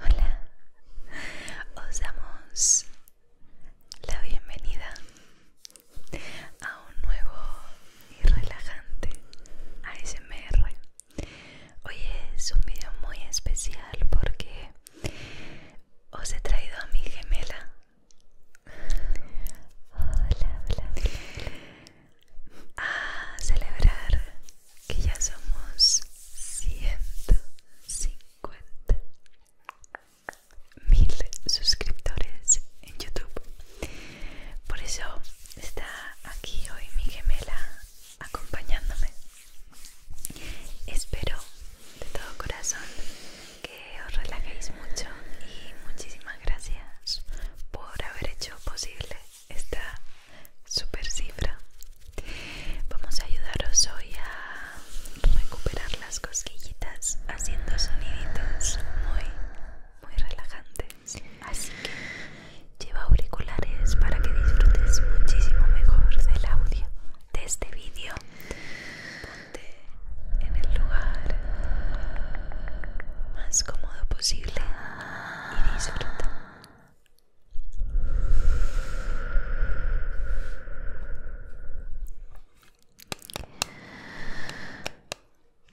hola, os damos la bienvenida a un nuevo y relajante ASMR. Hoy es un video muy especial porque os he traído a mi gemela. Hola, hola. A celebrar que ya somos 150.000 mil suscriptores en YouTube. Por eso está aquí hoy mi gemela acompañándome. Espero de todo corazón que os relajéis mucho y muchísimas gracias por haber hecho posible esta super cifra. Vamos a ayudaros hoy a recuperar las cosquillitas haciendo soniditos muy, muy relajantes. Así que lleva auriculares para que disfrutes muchísimo mejor del audio de este vídeo. Ponte en el lugar más cómodo posible y disfruta. Relájate, relájate, relájate.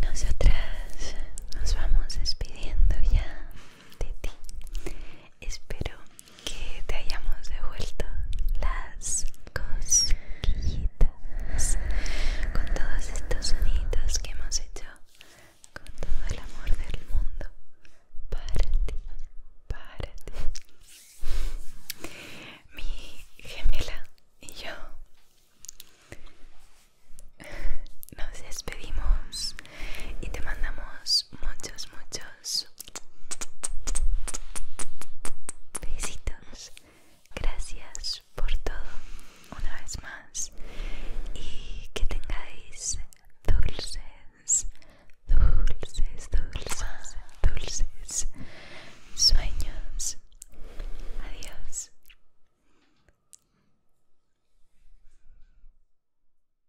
Nosotras nos vamos despidiendo ya de ti. Espero que te hayamos devuelto las cosquillitas con todos estos sonidos que hemos hecho con todo el amor del mundo para ti, para ti. Mi gemela y yo nos despedimos y te mandamos muchos, muchos Besitos. Gracias por todo una vez más. Y que tengáis dulces, dulces, dulces, dulces sueños. Adiós.